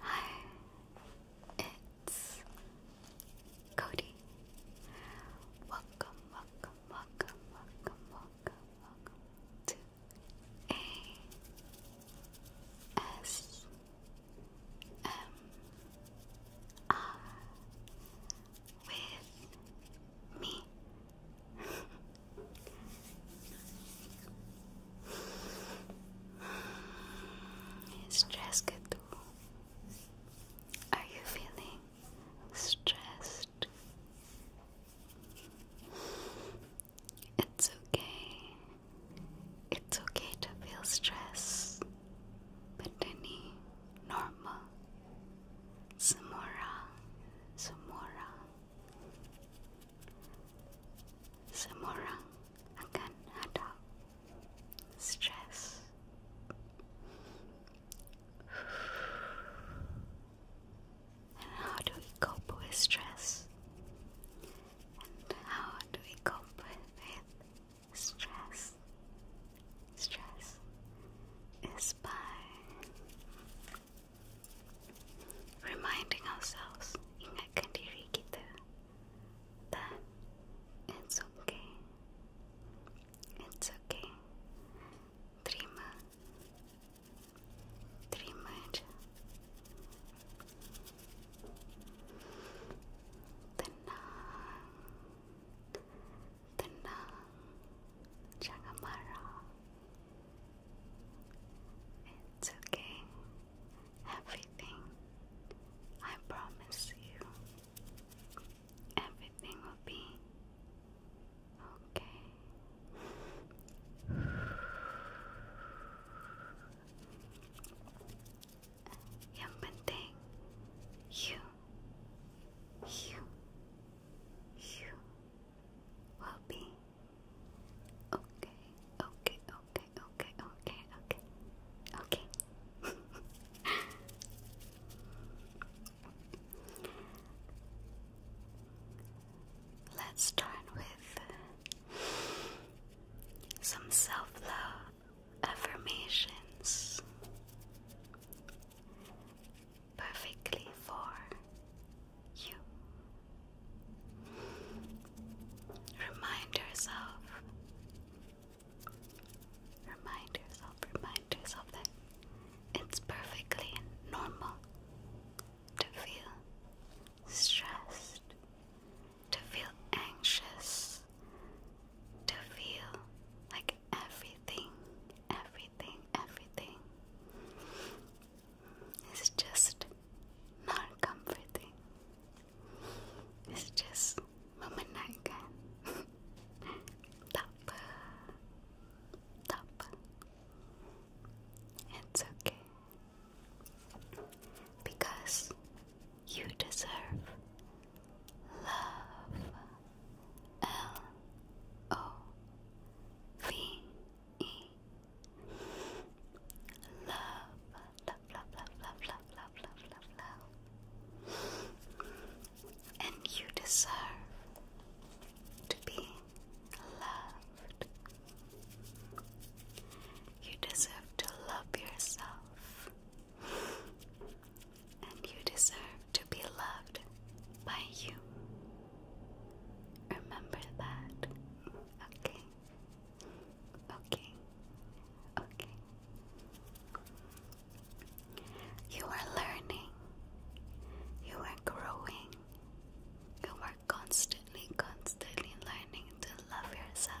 Hi, it's Cody. Welcome, welcome, welcome, welcome, welcome, welcome to A S M R with me. Stressed too. Are you feeling stressed? It's okay. It's okay to feel stressed, but any normal Samora, Samora, Samora akan hadap stress. And how do we cope with stress? And how do we cope with stress? stress is by reminding ourselves ingatkan diri kita that it's okay it's okay terima terima aja tenang, jangan marah. It's okay. Everything, I promise you, everything will be okay you you you will be okay okay okay okay okay okay okay Let's start with some self love affirmations perfectly for you. Remind yourself, remind yourself, remind yourself that it's perfectly normal to feel stressed, to feel anxious, to feel like everything, everything, everything is just not comforting. It's just memenangkan. tak apa, tak It's okay. Because you deserve Love. L O V E. Love. Love, love, love, love, love, love, love, love, love. And you deserve to be loved. You deserve to love yourself and you deserve to be loved by you. Remember that. Okay. Okay. Okay. You are learning. You are growing. You are constantly, constantly learning to love yourself.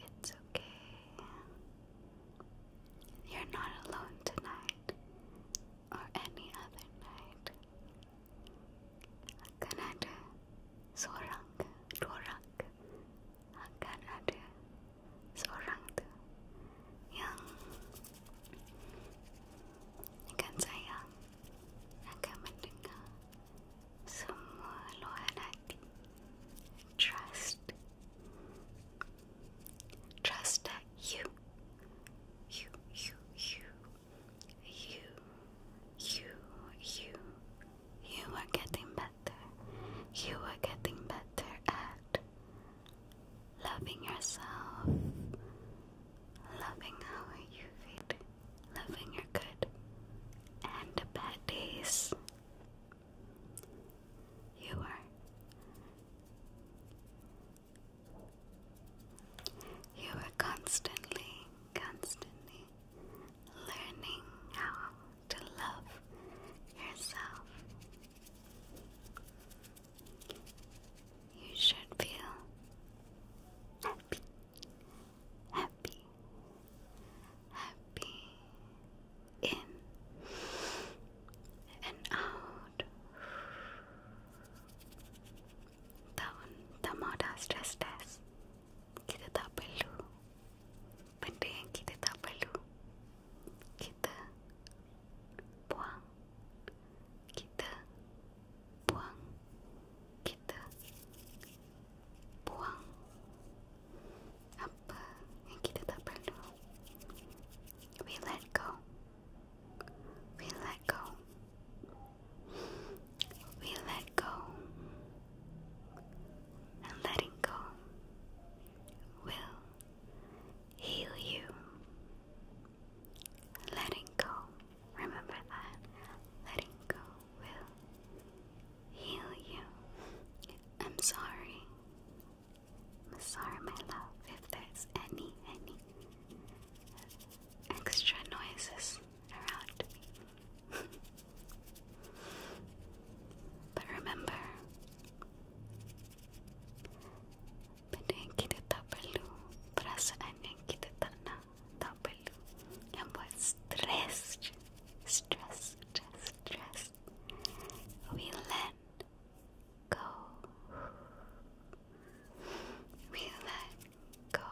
It's okay. You're not alone tonight or any other night. Hakanade sorang dorang. Hakanade sorang tu yang akan sayang akan mendengar semua luahan hati trust trust that you you you you you you you you are getting better you are getting better at loving yourself loving how you feel loving your good and bad days. You are. You are constantly, constantly learning how to love yourself. You should feel happy happy, happy, in and out. Down the moda stress test. Kita tak benda yang kita tak Kita buang. Kita buang. We let go. We let go. We let go. And letting go will heal you. Letting go. Remember that. Letting go will heal you. I'm sorry. I'm sorry, my love, if there's any, any extra noises around but remember, Pwede yung kita pa para sa anyang kita na doubled and was stressed, stressed, stressed. We let go. We let go.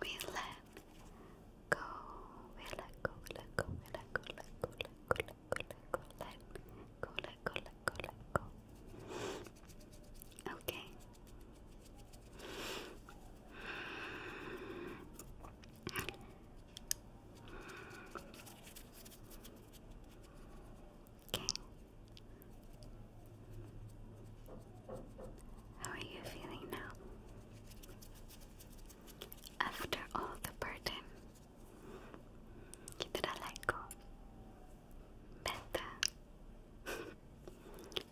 We let go. We let go. Let Let go. Let Let go. Let Let go. Let Let go. Let Let go. Okay. Okay. How are you feeling now? After all the burden, did I let go? Better.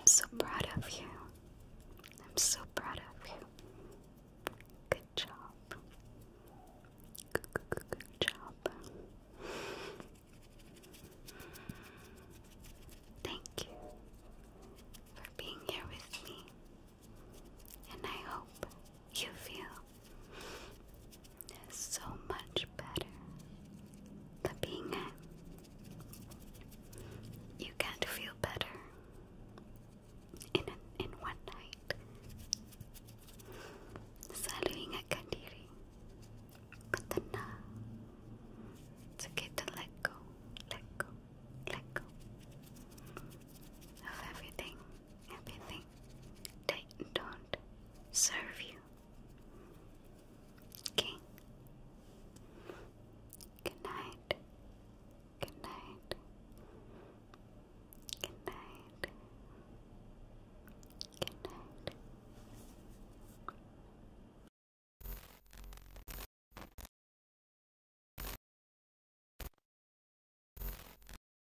I'm so proud of you. I'm so proud of you. Good job. good job. Thank you for being here with me, and I hope you feel so much better. The being you can't feel better in in one night. Saluhin ka diri, katana. It's uh, okay to let go, let go, let go of everything everything they don't serve you. Okay? Good night. Good night. Good night. Good night.